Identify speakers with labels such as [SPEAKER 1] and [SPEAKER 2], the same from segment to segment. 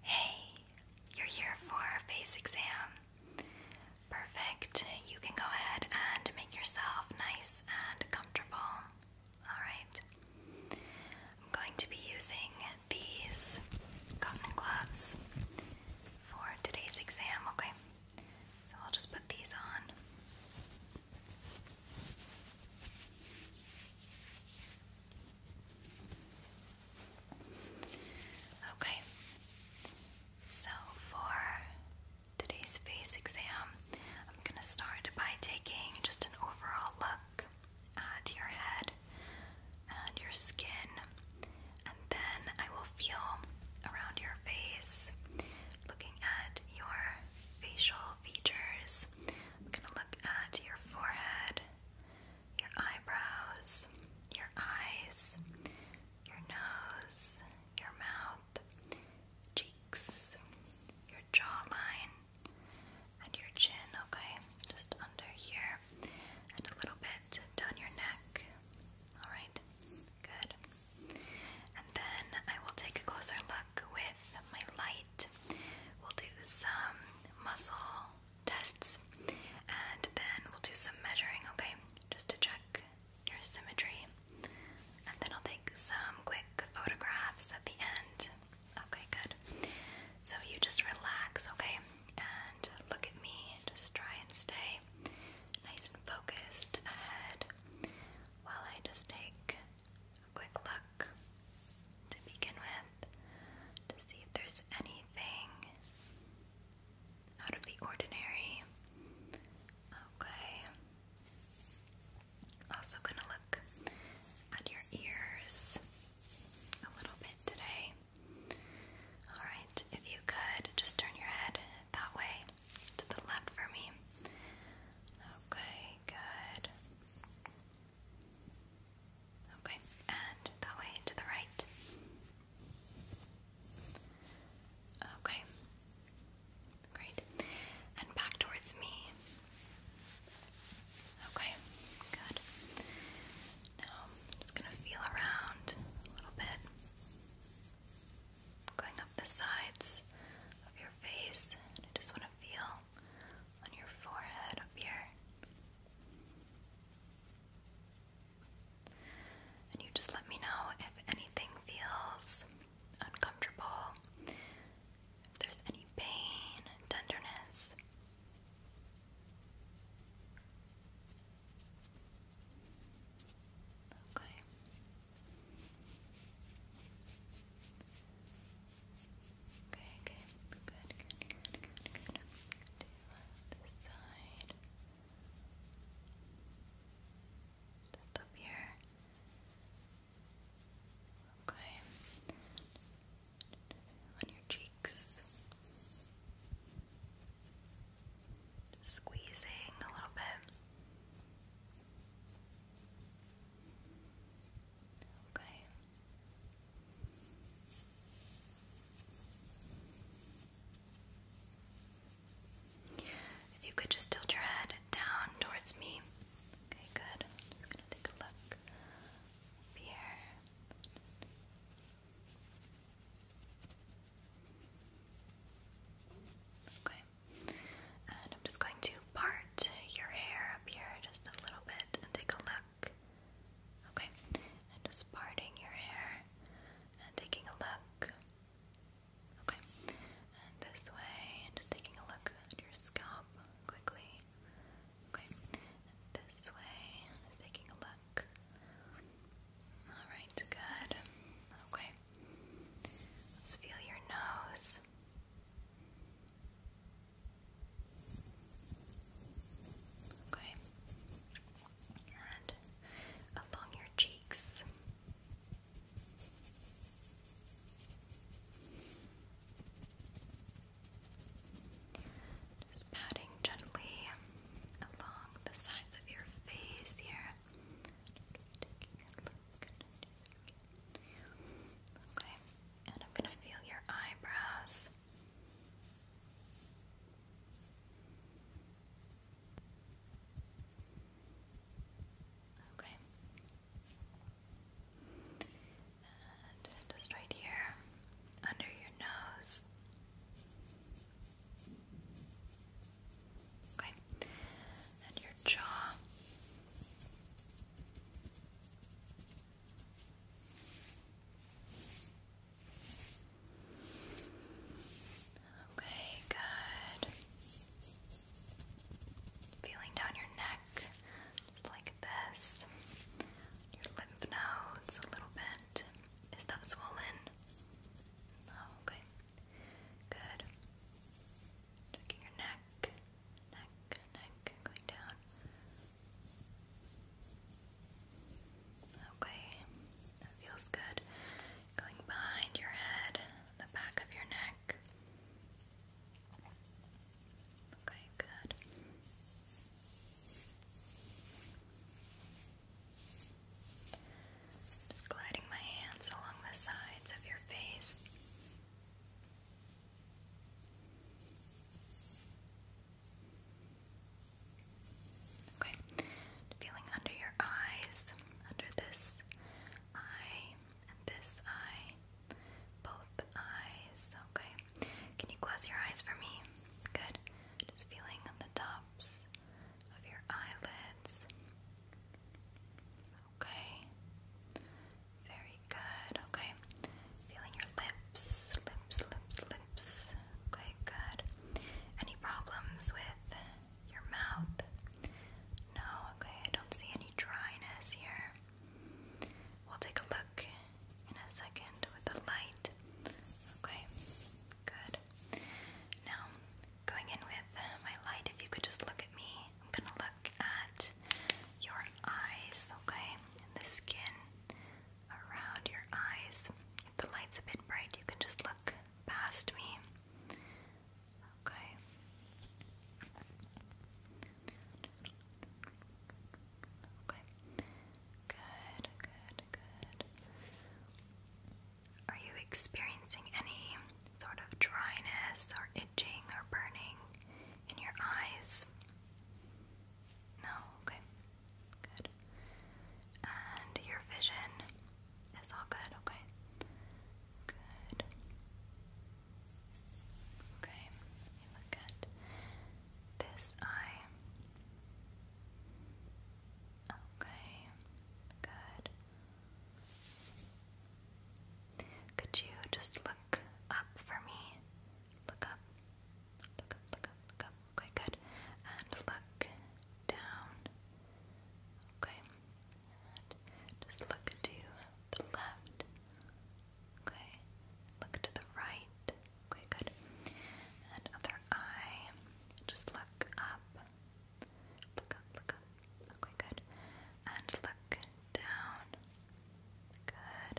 [SPEAKER 1] Hey, you're here for a face exam. Perfect. You can go ahead and make yourself nice and comfortable. Alright. I'm going to be using these cotton gloves for today's exam, okay? So I'll just put these on. Okay, so for today's face exam, I'm going to start by taking just an overall look at your head and your skin, and then I will feel around your face, looking at your facial features. I'm going to look at your forehead, your eyebrows, your eyes, your nose, your mouth, cheeks, your jawline, and your chin, okay? Just under here and a little bit down your neck. Alright, good. And then I will take a closer look with my light. We'll do some muscle tests and then we'll do some measuring, okay? Just to check your symmetry. And then I'll take some quick photographs at the end. Okay, good. So you just relax, okay? And look at me. Just try and stay nice and focused ahead while I just take quick look to begin with to see if there's anything out of the ordinary. Okay. Also, gonna look at your ears a little bit today. Alright, if you could just turn your head that way to the left for me. Okay, good. Okay, and that way to the right. Okay, great. And back towards me. Okay, good. Now I'm just going to feel around a little bit. Going up the sides of your face. I just want to feel on your forehead up here. And you just let me know if anything feels uncomfortable, if there's any pain, tenderness. Okay. Okay, okay. Good, good, good, good, good. To this side. Just up here. Okay. On your cheeks. Just squeezing a little bit. Okay. If you could just tilt your head down towards me. Okay, good. just gonna take a look here. Okay. I'm just going to part your hair up here just a little bit and take a look. Okay, just parting your hair and taking a look. Okay, and this way, and just taking a look at your scalp quickly. Okay, this way, and taking a look. Alright, good. Okay, let's feel your nose. Okay. And along your cheeks. Just patting gently along the sides of your face here. Okay, and I'm going to feel your eyebrows. Okay. And just right here under your nose. Okay. And your jaw. Okay, good. Feeling down your neck, like this. Your lymph nodes a little bit. Is that swollen? Oh, okay. Good. Checking your neck neck, neck, neck, going down. Okay, that feels good. Going behind your head, the back of your neck. Okay, good. Just gliding my hands along the sides of your face. Okay, feeling under your eyes, under this eye this eye, both eyes. Okay, can you close your eyes for me? Good. Just feeling on the tops of your eyelids. Okay. Very good. Okay. Feeling your lips, lips, lips, lips. Okay, good. Any problems with your mouth? No, okay, I don't see any dryness here. We'll take a look in a second with the light. Okay, good. Now, going in with my light, if you could just look at me I'm gonna look at your eyes, okay? the skin around your eyes. If the light's a bit bright, you can just look past me. Okay. Okay. Good, good, good. Are you experiencing any sort of dryness or itching or burning? in your eyes? No? Okay. Good. And your vision is all good? Okay. Good. Okay. You look at this eye. Okay. Good. Could you just look look up for me. Look up. Look up, look up, look up. Okay, good. And look down. Okay. And just look to the left. Okay. Look to the right. Okay, good. And other eye. Just look up. Look up, look up, Okay, good. And look down. Good.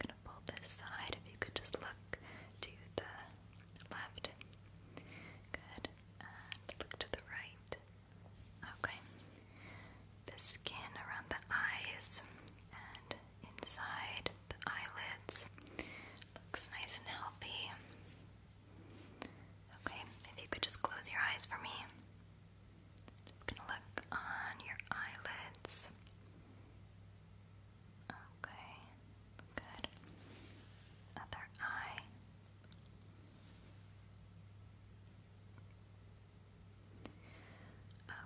[SPEAKER 1] gonna pull this side. If you could just look to the left. Good. And look to the right. Okay. The skin around the eyes and inside the eyelids looks nice and healthy. Okay, if you could just close your eyes for me. Just gonna look on your eyelids. Okay, good. Other eye.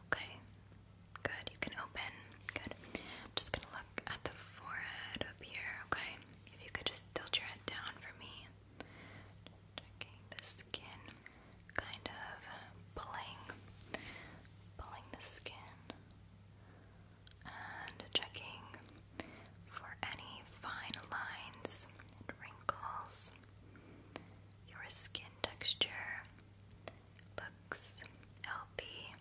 [SPEAKER 1] Okay, good. You can open. Good. I'm just gonna look at the forehead up here, okay? If you could just tilt your head down for me checking the skin, kind of pulling, pulling the skin, and checking for any fine lines wrinkles. Your skin texture looks healthy,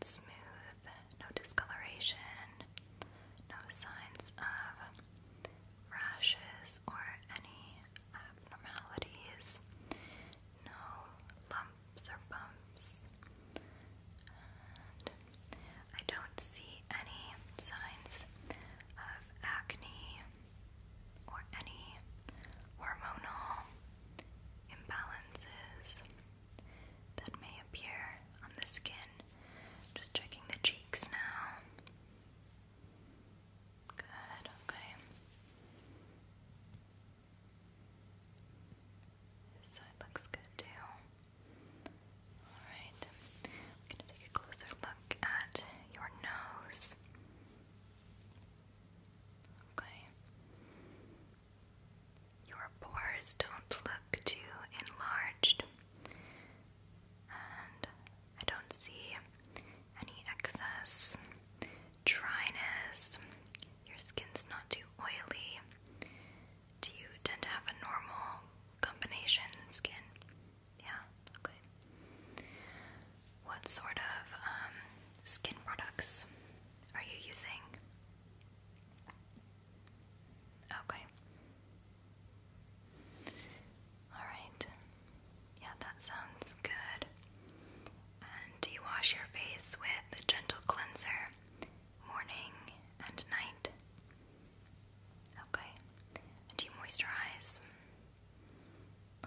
[SPEAKER 1] smooth, no discoloration, no signs of rashes, or any abnormalities. No lumps or bumps. I don't see any signs of acne or any hormonal imbalances that may appear on the skin. Just checking the cheeks now. Good, okay. This side looks good too. Alright, I'm gonna take a closer look at your nose. Okay. Your pores don't look too enlarged. I don't see any excess dryness. Your skin's not too oily. Do you tend to have a normal combination skin? Yeah, okay. What sort of um, skin products are you using? Okay, Alright. Yeah, that sounds good. And do you wash your face with a gentle cleanser morning and night? Okay. do you moisturize?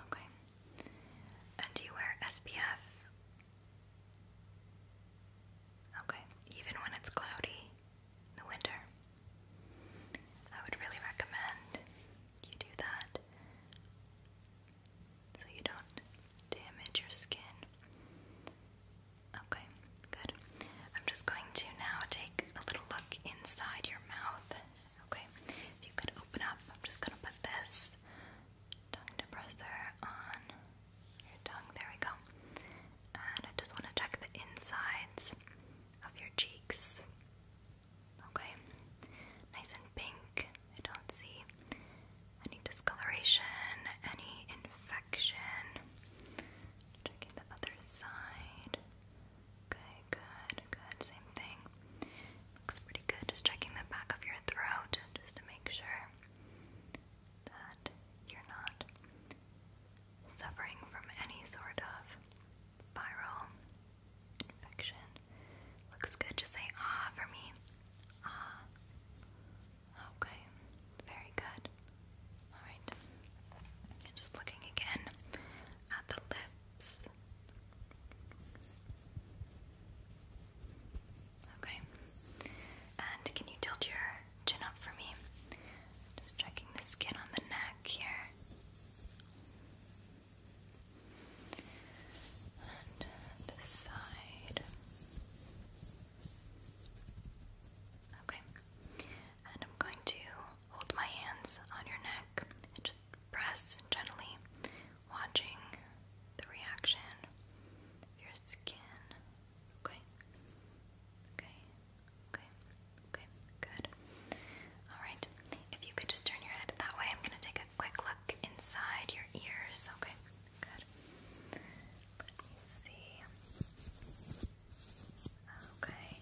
[SPEAKER 1] Okay. And do you wear SPF? Okay, even when it's cloudy the winter. I would really recommend you do that so you don't damage your skin. Okay, good. I'm just going to now take a little look inside your mouth. Okay, if you could open up, I'm just going to put this tongue depressor on your tongue. There we go. And I just want to check the insides of your cheeks. Okay, nice and pink. I don't see any discoloration, any infection. Checking the other side. Okay, good, good. Same thing. Looks pretty good. Just checking the back of your throat just to make sure that you're not suffering from any sort of viral infection. Looks good. Just say ah for me. Ah. Okay. Very good. Alright. Just looking again at the lips. Okay. And can you tilt your chin up for me? Just checking the skin on the neck here. And this side. Okay. And I'm going to hold my hands on your neck and just press gently, watching the reaction your skin. Okay. Okay. Okay, okay, good. Alright, if you could just turn your head that way, I'm going to take a quick look inside your ears. Okay, good. Let me see. Okay.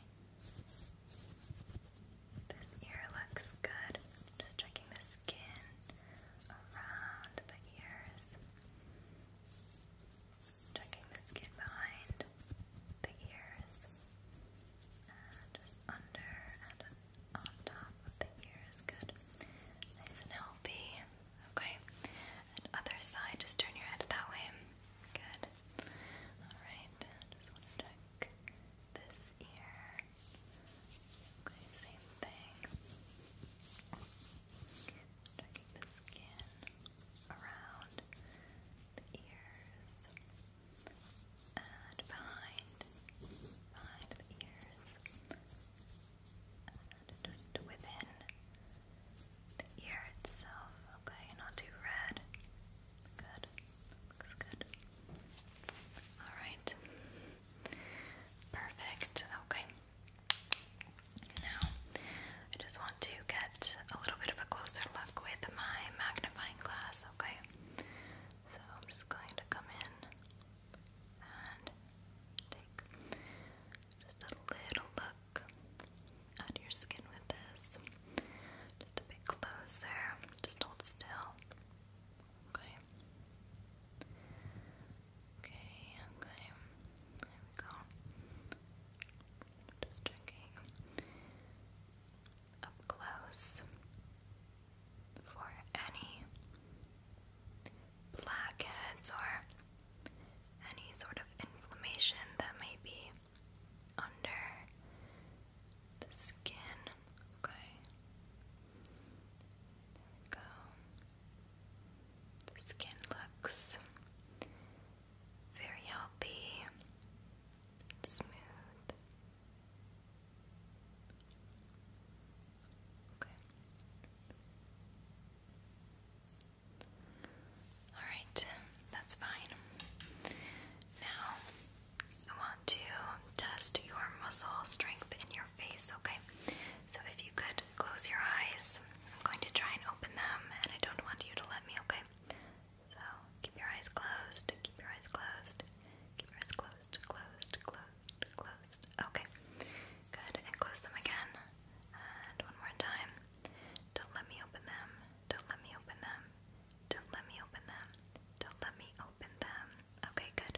[SPEAKER 1] This ear looks good. Just checking the skin around the ears checking the skin behind the ears and just under and on top of the ears. Good. Nice and healthy. Okay. other side, just turn your head that way. Good. Alright. Just want to check this ear. Okay, same thing. Checking the skin around ears and behind, behind the ears and just within the ear itself. Okay, not too red. Good. Looks good. Alright. Perfect. Okay. Now, I just want to get a little bit of a closer look with my magnifying glass, okay? So I'm just going to come in and take just a little look at your skin with this. Just a bit closer. Just hold still. Okay. Okay, okay. go. Just checking up close for any blackheads or any sort of inflammation that may be under the skin. Okay. go. The skin looks very healthy, smooth. Okay. Alright, that's fine. Now, I want to test your muscle strength in your face, okay? So if you could close your eyes I'm going to try and open them, and I don't want you to let me, okay? So, keep your eyes closed, keep your eyes closed, keep your eyes closed, closed, closed, closed. Okay, good, and close them again, and one more time. Don't let me open them, don't let me open them, don't let me open them, don't let me open them. Okay, good.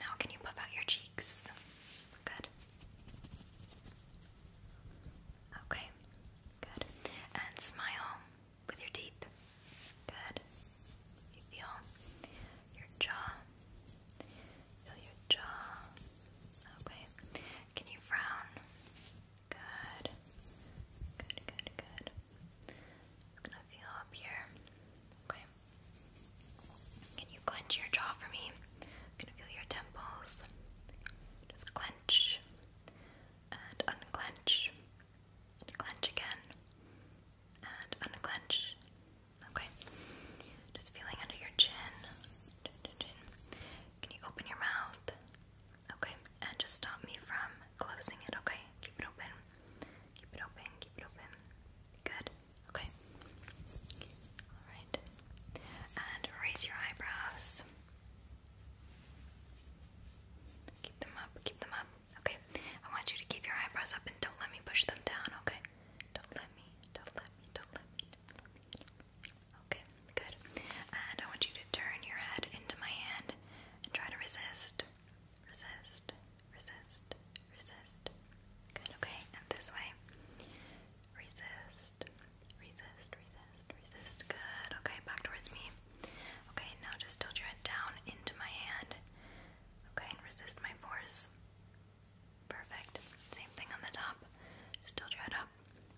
[SPEAKER 1] Now, can you puff out your cheeks? Good. Okay, good. And smile with your teeth. Good. You feel your jaw. Feel your jaw. Okay. Can you frown? Good. Good, good, good. I'm gonna feel up here. Okay. Can you clench your jaw for me? I'm gonna feel your temples. Just clench and unclench. And clench again. And unclench. Okay. Just feeling under your chin. Chin, chin, chin. Can you open your mouth? Okay. And just stop me from closing it, okay? Keep it open. Keep it open. Keep it open. Good. Okay. And raise your eyebrows. Keep them up, keep them up. Okay. I want you to keep your eyebrows up and don't let me push them down, okay? don't let me, don't let me, don't let me. Don't let me. Okay, good. And I want you to turn your head into my hand and try to resist. Resist, resist, resist. Good, okay, and this way. Resist, resist, resist, resist, Good. Okay, back towards me. Okay, now just tilt your head down into my hand. Okay, and resist my force. Perfect. Same thing on the top. Just tilt your head up.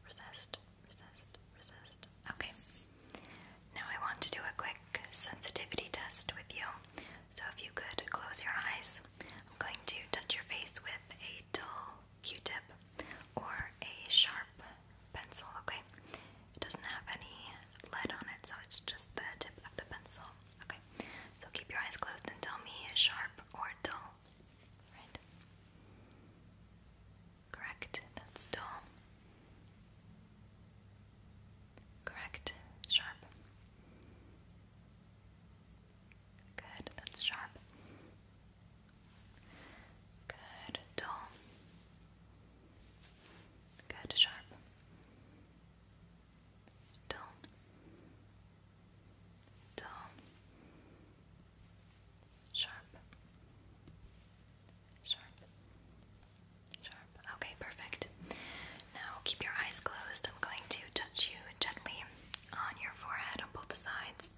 [SPEAKER 1] Resist, resist, resist. Okay. Now I want to do a quick sensitivity test with you. So if you could close your eyes, I'm going to touch your face with a dull Q-tip or a sharp pencil, okay? It doesn't have any lead on it, so it's just the tip of the pencil, okay? So keep your eyes closed and tell me sharp or dull, right? Correct, that's dull. Correct, sharp. Good, that's sharp. Good, dull. Good, sharp. Dull. Dull. Sharp. Sharp. Sharp. Okay, perfect. Now keep your eyes closed. I'm going to touch you gently on your forehead on both sides.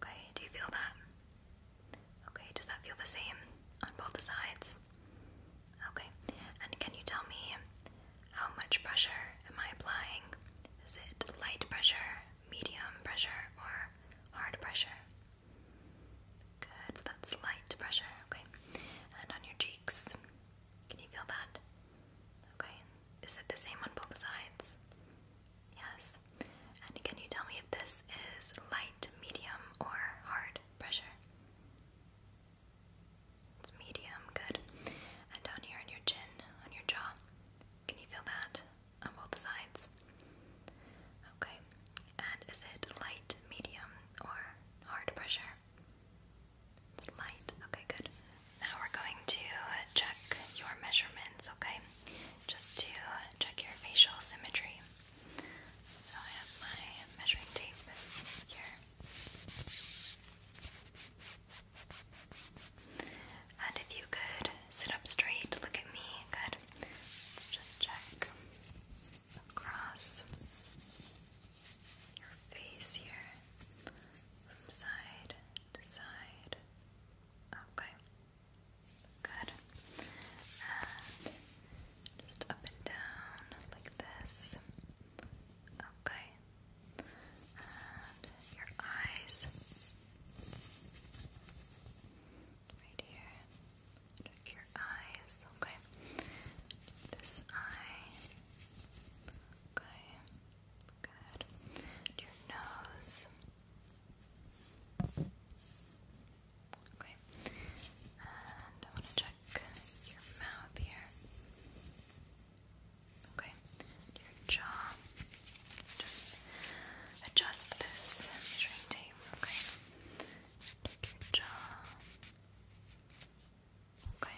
[SPEAKER 1] Okay, do you feel that? Okay, does that feel the same on both sides? Okay, and can you tell me how much pressure am I applying? Is it light pressure, medium pressure, or hard pressure? Good, that's light pressure, okay. And on your cheeks, can you feel that? Okay, is it the same on both sides? Yes. And can you tell me if this is light, medium, or hard pressure? It's medium, good. And down here on your chin, on your jaw, can you feel that on both sides? Okay. And is it light, medium, or hard pressure? light. Okay, good. Now we're going to check your measurements, okay? Just to check your facial symmetry. So I have my measuring tape here. And if you could sit up straight, look at me. Good. just check across your face here from side to side. Okay. Good. just up and down like this. Okay. And your eyes. Right here. your eyes. Okay. This eye. Okay, good. your nose. Okay, and I want to check your mouth here. Okay, your jaw. Just adjust this measuring tape. Okay, your jaw. Okay.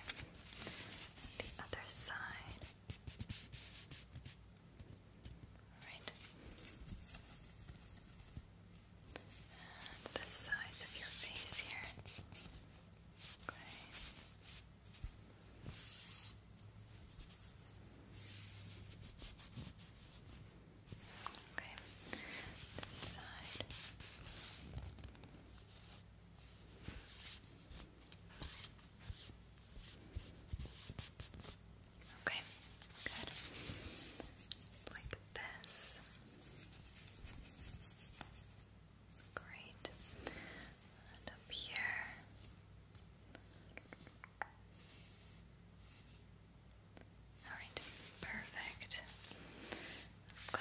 [SPEAKER 1] the other side. Alright. the sides of your face here. Okay. Okay. This side. Okay, good. Like this. Great. And up here. Alright, perfect. Okay.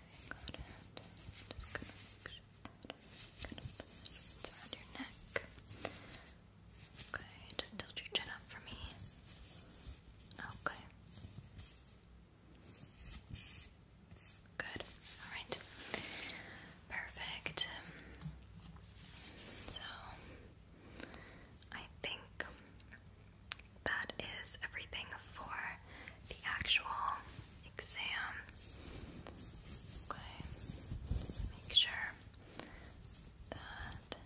[SPEAKER 1] Okay, Just gonna make sure that kind of it's around your neck. Okay, just tilt your chin up for me. Okay. Good. All right. Perfect. So, I think that is everything for the actual exam. Okay, make sure that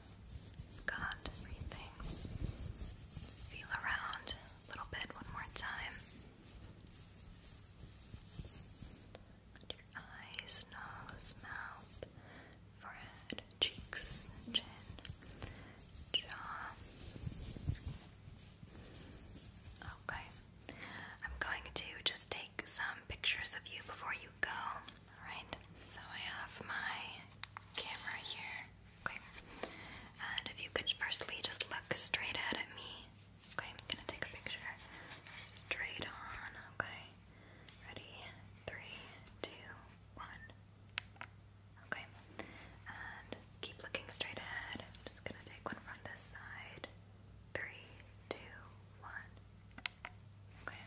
[SPEAKER 1] I've got everything. Feel around a little bit one more time. your eyes, nose, mouth, forehead, cheeks, chin, jaw. Okay. I'm going to just take some pictures of you before you go. Alright. So I have my camera here. And if you could firstly just look straight ahead at me. Okay, I'm gonna take a picture straight on. Okay. Ready? Three, two, one. Okay, and keep looking straight ahead. just gonna take one from this side. Three, two, one. Okay,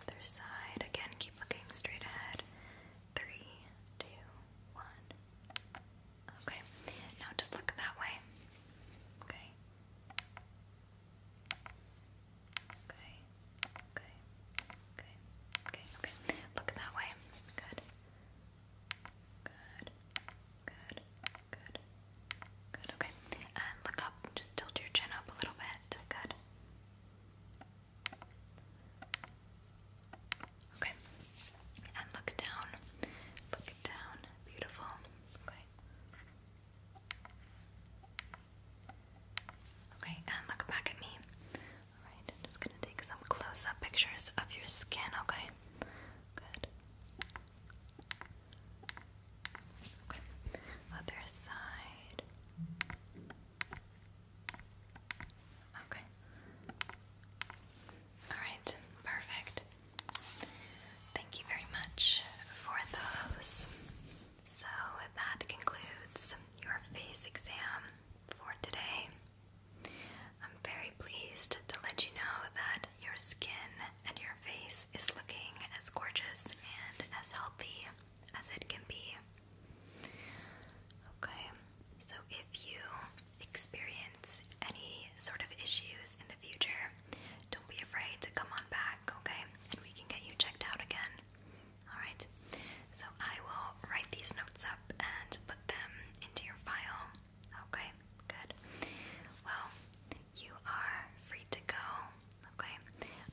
[SPEAKER 1] other side. Again, keep looking straight ahead. Three, two, one. Okay, now just look that way. Okay. Okay. Okay. Okay. Okay. Look that way. Good. Good, good, good, good. Okay, and look up. Just tilt your chin up a little bit. Good. Okay, and look down. Look down. Beautiful. Okay. Okay, and look back at me. Alright, I'm just gonna take some close up pictures of your skin, okay? Good. Okay, other side. Okay. Alright, perfect. Thank you very much for those. So, that concludes your face exam for today. I'm very pleased to let you know that your skin and your face is looking as gorgeous and as healthy as it can be. Okay, so if you experience any sort of issues in the future, don't be afraid to come on back, okay? And we can get you checked out again. Alright, so I will write these notes up and put them into your file. Okay, good. Well, you are free to go. Okay,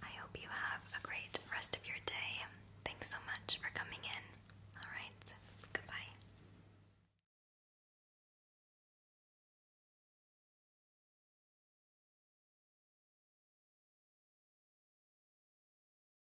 [SPEAKER 1] I hope you have a great rest of your day. Thanks so much for coming in. Alright, goodbye.